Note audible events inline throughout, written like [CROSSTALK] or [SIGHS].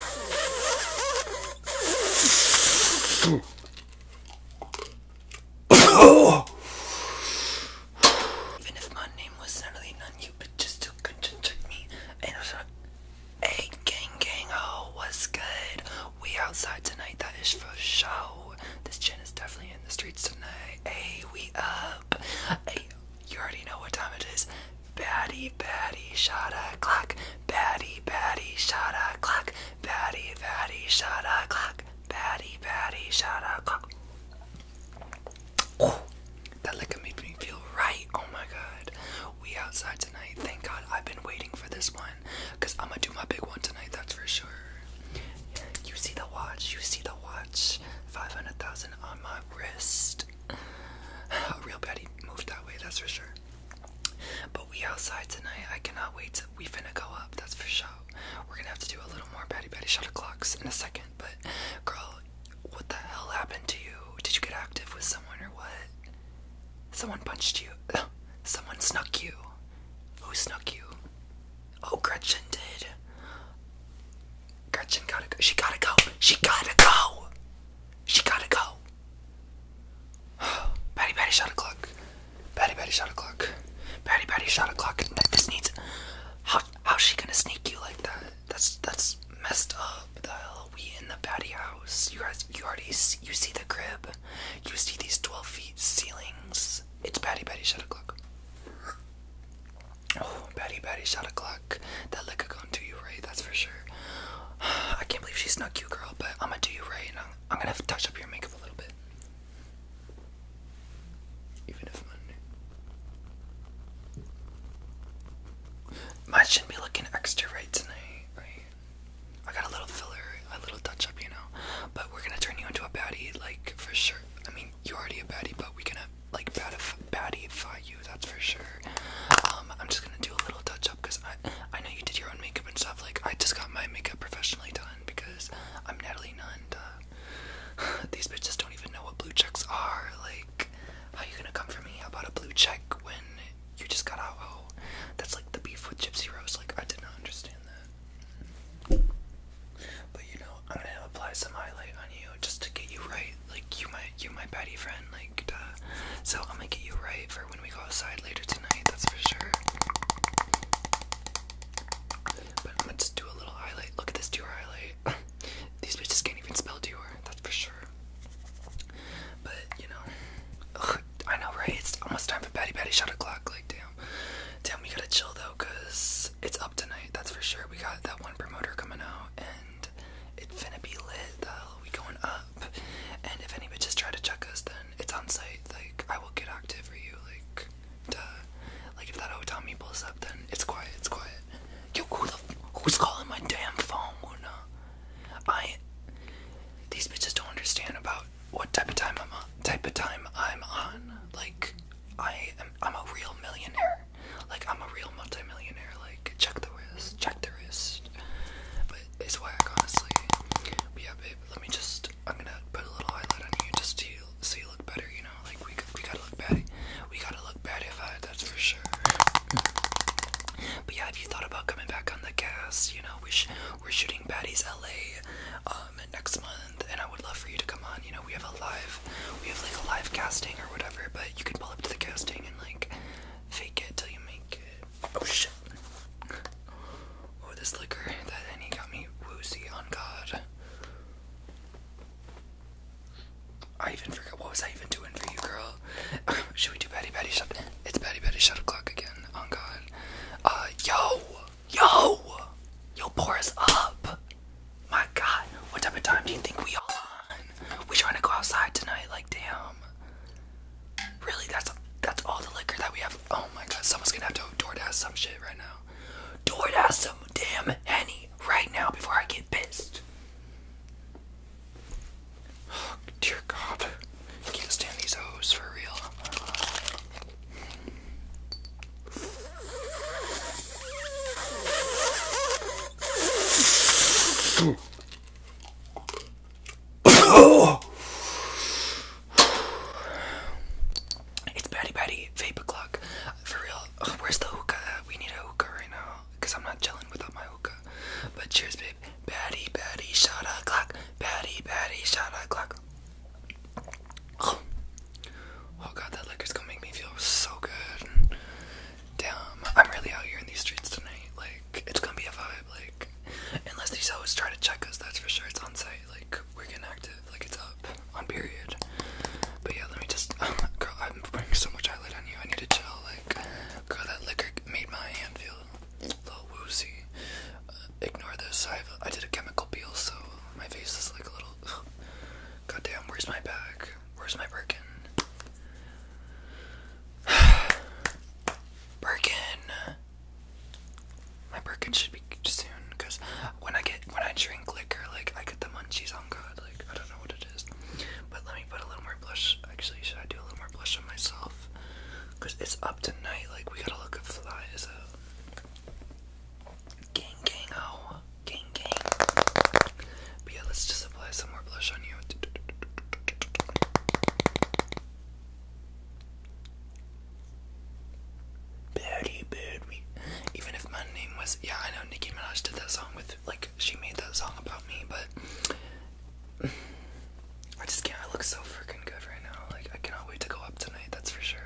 Even if my name was not really none, you but just to trick me. hey, gang, gang, oh, what's good? We outside tonight, that is for show. This gin is definitely in the streets tonight. Hey, we up. Hey, you already know what time it is. Batty, batty, shot a clock. Batty, batty, shot a clock. Batty, batty, shot a clock. Batty, batty, shot a clock. Oh, that liquor made me feel right. Oh my god. We outside tonight. Thank god I've been waiting for this one. Because I'm going to do my big one tonight, that's for sure. You see the watch. You see the watch. 500,000 on my wrist. [SIGHS] A real Betty moved that way, that's for sure. But we outside tonight. I cannot wait. To, we finna go up. That's for sure. We're gonna have to do a little more patty patty shot clocks in a second. But girl, what the hell happened to you? Did you get active with someone or what? Someone punched you. Someone snuck you. Who snuck you? Oh, Gretchen did. Gretchen gotta go. She gotta go. She gotta go. She gotta go. Patty [SIGHS] Patty shot a clock. Patty Patty shot a clock. Patty Patty shot a clock. this needs. How how's she gonna sneak you like that? That's that's messed up. The hell we in the Patty house? You guys, you already you see the crib. You see these twelve feet ceilings. It's Patty Patty shot o'clock. Oh, [SIGHS] Patty Patty shot a clock. That look liquor gonna do you right, that's for sure. [SIGHS] I can't believe she snuck you, girl, but I'm gonna do you right and I'm, gonna touch up your makeup a little bit. Even if Mine shouldn't be looking extra right tonight, right? I got a little filler, a little touch up, you know. But we're gonna turn you into a baddie, like for sure. I mean, you're already a baddie, but we're gonna like badify, you that's for sure. Um, I'm just gonna do a little touch up because I I know you did your own makeup and stuff. Like I just got my makeup professionally done because I'm Natalie Nunn. [LAUGHS] These bitches don't even know what blue checks are. Like, how you gonna come for me about a blue check when you just got out? Oh, that's like the beef with Gypsy Rose. Like I did not understand that. But you know, I'm gonna apply some highlight on you just to get you right. Like you my you my baddie friend. Like, so I'm gonna get you right for when we go outside later tonight, that's for sure. But I'm do a little highlight. Look at this Dior highlight. [LAUGHS] These bitches can't even spell Dior, that's for sure. But you know, I know, right? It's almost time for Batty Batty shot o'clock. Like, damn, damn, we gotta chill though, it's up tonight. That's for sure. We got that one promoter coming out, and it's finna be lit. Though we going up. And if any bitches try to check us, then it's on site. Like, I will get active for you. Like, duh. Like, if that Tommy pulls up, then it's quiet. It's quiet. Yo, who the who's calling my damn phone? I. These bitches don't understand about what type of time I'm on. Type of time I'm on. Like, I am. I'm a real millionaire. Like, I'm a real multimillionaire. Like, check the wrist, check the wrist. But it's whack, honestly. But yeah, babe, let me just. I'm gonna put a little highlight on you just to see you look better. You know, like we we gotta look bad. We gotta look if I. That's for sure. But yeah, have you thought about coming back on the cast? You know, we are shooting Baddies LA um, next month, and I would love for you to come on. You know, we have a live, we have like a live casting or whatever, but you can pull up to the casting and like fake it till you make it. Oh shit. Oh, this liquor that and he got me woozy on God. I even forgot what was I even doing for you, girl. [LAUGHS] should we do Betty Betty Shut? It's Betty Betty Shut the clock again. On God. Uh, yo, yo, yo, pour us up. My God, what type of time do you think we are? We trying to go outside tonight. Like, damn. Really? That's that's all the liquor that we have. Oh my god, someone's gonna have to DoorDash some shit right now. DoorDash some damn henny right now before I get pissed. Oh, [SIGHS] dear God, can't stand these hoes for real. [SIGHS] it's Batty Batty Vapor Clock. For real, oh, where's the hookah? We need a hookah right now. Because I'm not chilling without my hookah. But cheers, babe. Batty Batty Shot a Clock. Batty Batty Shot a Clock. Oh. [SIGHS] oh god, that liquor's gonna make me feel so good damn, I'm really out here in these streets tonight. Like, it's gonna be a vibe. Like, unless these always try to check us, that's for sure. It's on site. Like, we're getting active. Like, it's up on period. But yeah, let me just. [LAUGHS] girl, I'm putting so much highlight on you. I need to chill. Like, girl, that liquor made my hand feel a little woozy. Uh, ignore this. I've, I did a chemical peel, so my face is like a little. [SIGHS] God damn, where's my bag? Where's my Birkin? [SIGHS] Birkin. My Birkin should be soon, cause when I get when I drink liquor, like I get the munchies on God. Like I don't know what it is, but let me put a little more blush. Actually, should I do a little more blush on myself? Cause it's up tonight. Like we gotta look at flies. Uh. Gang gang oh, gang gang. But yeah, let's just apply some more blush on you. Birdie, birdie. Even if my name was, yeah, I know Nicki Minaj did that song with, like, she made that song about me, but I just can't. I look so freaking good right now. Like, I cannot wait to go up tonight, that's for sure.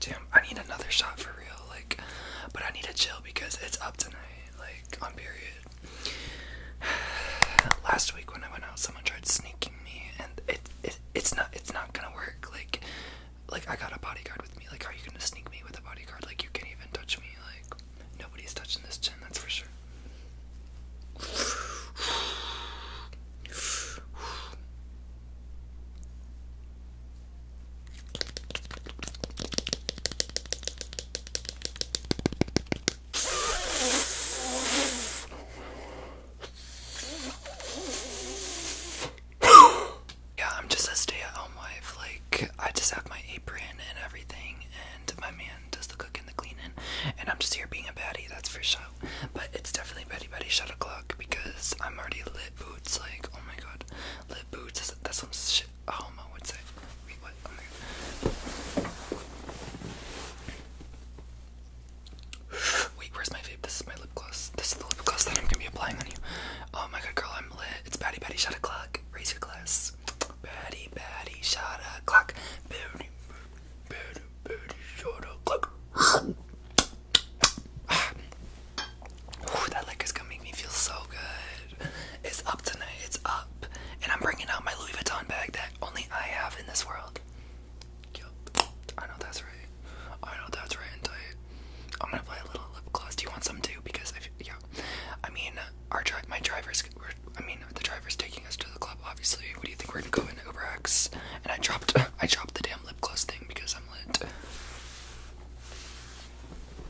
Damn, I need another shot for real, like, but I need to chill because it's up tonight, like, on period. [SIGHS] Last week when I went out, someone tried sneaking me, and it, it it's not it's not gonna work. Like, like I got a bodyguard with me. Like, how are you gonna sneak me with a bodyguard? Like, you can't even touch me. Like, nobody's touching this chin. That's for sure. [GASPS] yeah, I'm just a stay at home wife. Like, I just have my apron and everything, and my man does the cooking, and the cleaning, and I'm just here being a baddie, that's for sure. But it's definitely Betty Betty Shut clock because I'm already lit lip boots, like, oh my god, lip boots, that's, that's some shit a homo would say. Wait, what? Oh my god. Wait, where's my vape? This is my lip gloss. This is the lip gloss that I'm gonna be applying on you. Oh my god, girl, I'm lit. It's Batty Batty Shot O'Clock. Raise your glass. Batty Batty Shot O'Clock. Batty Batty Batty Shot O'Clock. [SIGHS] Ooh, that liquor's gonna make me feel so good. It's up tonight. It's up, and I'm bringing out my Louis Vuitton bag that only I have in this world. Yep. I know that's right. I know that's right and tight. I'm gonna play a little lip gloss. Do you want some too? Because if yeah, I mean, our drive, my drivers. I mean, the driver's taking us to the club. Obviously, what do you think we're gonna go in Uber X? And I dropped, [LAUGHS] I dropped the damn lip gloss thing because I'm lit.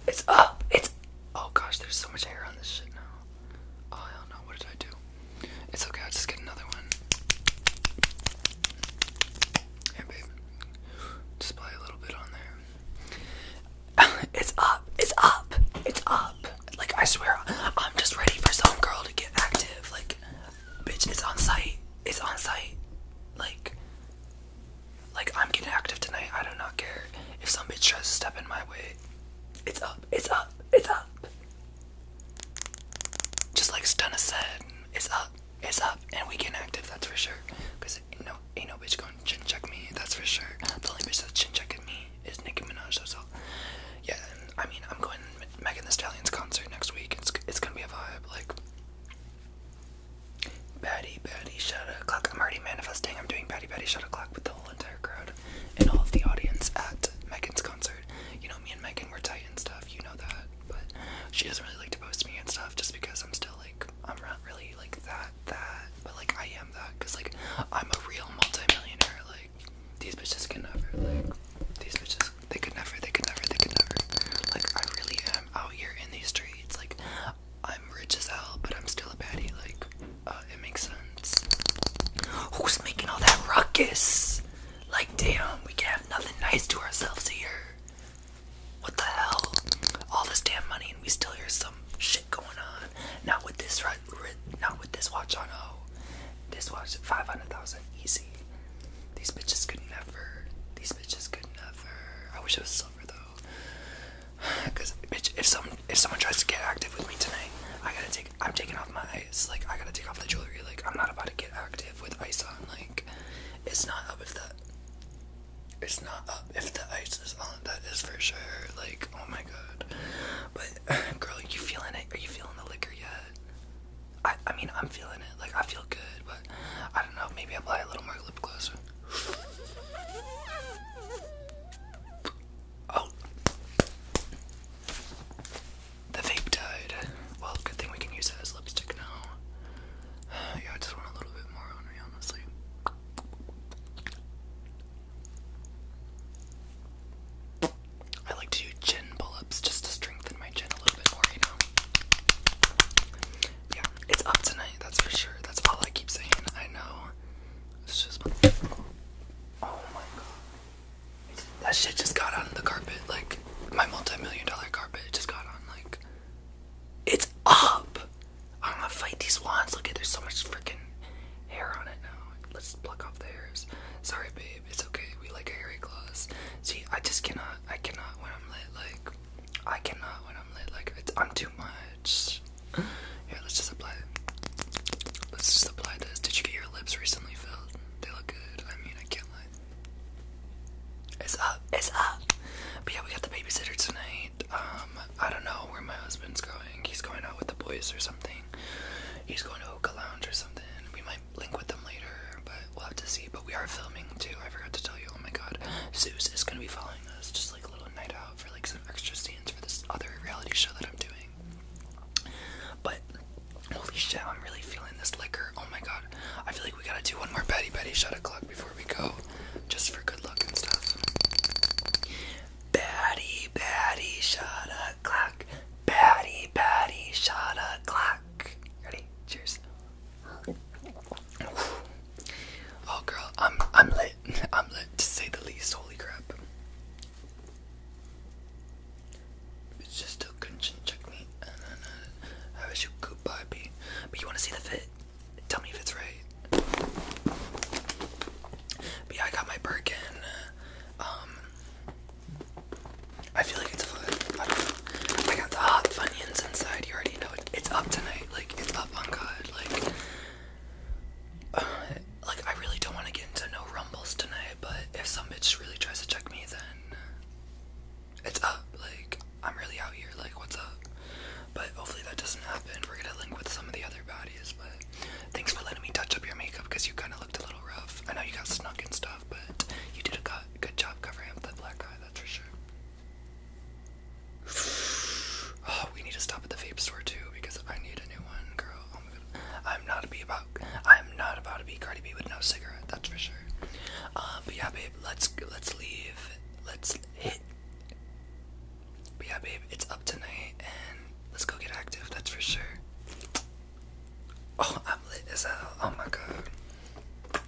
It's up. It's. Oh gosh, there's so much hair on this shit now. Oh hell no! What did I do? It's okay. i just get another one. Here, babe. Just play a little bit on there. [LAUGHS] it's up. It's up. It's up. Like I swear, I'm just ready for some girl to get active. Like, bitch, it's on site. It's on site. Like, like I'm getting active tonight. I do not care if some bitch tries to step in my way. It's up. It's up. It's up. Just like Stunna said, it's up. It's up, and we get active. That's for sure. Cause ain't no ain't no bitch going to chin check me. That's for sure. The only bitch that's chin checking me is Nicki Minaj. So, so. yeah. I mean, I'm going to Megan The Stallion's concert next week. It's it's gonna be a vibe. Like Batty Batty Shut clock. I'm already manifesting. I'm doing Batty Batty Shut clock with the whole entire crowd and all of the audience at Megan's concert. You know, me and Megan were tight and stuff. You know that. But she doesn't really like to post me and stuff just because I'm still like, I'm not really like that, that. But like, I am that because like, I'm a real multimillionaire. Like, these bitches can never. Like, these bitches, they could never, they could never, they could never. Like, I really am out here in these streets, like I'm rich as hell, but I'm still a baddie. Like uh, it makes sense. Who's making all that ruckus? Like damn, we can have nothing nice to ourselves here. What the hell? All this damn money, and we still hear some shit going on. Not with this, right? not with this watch on. Oh, this watch five hundred thousand easy. These bitches could never. These bitches could never. I wish it was silver though. [SIGHS] Cause bitch, if some if someone tries to get active with me tonight, I gotta take. I'm taking off my ice. Like I gotta take off the jewelry. Like I'm not about to get active with ice on. Like it's not up if that. It's not up if the ice is on. That is for sure. Like oh my god. But [SIGHS] girl, are you feeling it? Are you feeling the liquor yet? I I mean I'm feeling it. Like I feel good. I don't know, maybe apply a little more lip gloss. Oh, the vape died. Well, good thing we can use it as lipstick now. [SIGHS] Yeah, I just want a little bit more on me, honestly. I like to do chin pull ups just to strengthen my chin a little bit more, you know yeah, it's up tonight, that's for sure. That's all I keep saying. I know. It's just Oh my god. That shit just got on the carpet, like my multi-million dollar carpet just got on like it's up! I'm gonna fight these wands. Look at there's so much freaking hair on it now. Let's pluck off the hairs. Sorry babe, it's okay. We like a hairy gloss. See, I just cannot I cannot when I'm lit like I cannot when I'm lit. Like it's, I'm too much. Yeah, let's just apply it. Let's just apply this. Did you get your lips recently filled? They look good. I mean, I can't lie. It's up. It's up. But yeah, we got the babysitter tonight. Um, I don't know where my husband's going. He's going out with the boys or something. He's going to Hookah Lounge or something. We might link with them later, but we'll have to see. But we are filming too. I forgot to tell you. Oh my god, Zeus is gonna be following us, just like a little night out for like some extra scenes for this other reality show that I'm doing. But holy shit, I'm really feeling this liquor. Oh my god, I feel like we gotta do one more Betty Betty shot o'clock before we go, just for good luck and stuff. Batty, batty, shot o'clock. Batty, batty, shot o'clock. Ready? Cheers. Oh girl, I'm I'm lit. [LAUGHS] I'm lit to say the least. Holy crap. It's just a conscience check me uh, I wish you could goodbye B. But you wanna see the fit? Tell me if it's right. But I got my Birkin. Uh, um I feel like it's a I got the hot Funyuns inside. You already know It's up tonight. Like it's up on God. Like, [SIGHS] like I really don't want to get into no rumbles tonight. But if some bitch really tries to check me, then it's up. Like I'm really out here. Like what's up? But hopefully that doesn't happen. We're gonna link with some of the other bodies. But thanks for letting me touch up your makeup because you kind of looked a little rough. I know you got snuck and stuff, but you did a good job covering up that black eye. That's for sure. Oh, we need to stop at the vape store too because I need a new one, girl. Oh I'm not a be about I'm not about to be Cardi B with no cigarette, that's for sure. Uh, but yeah, babe, let's let's leave. Let's hit. But yeah, babe, it's up tonight and let's go get active, that's for sure. Oh, I'm lit as hell. Oh my god.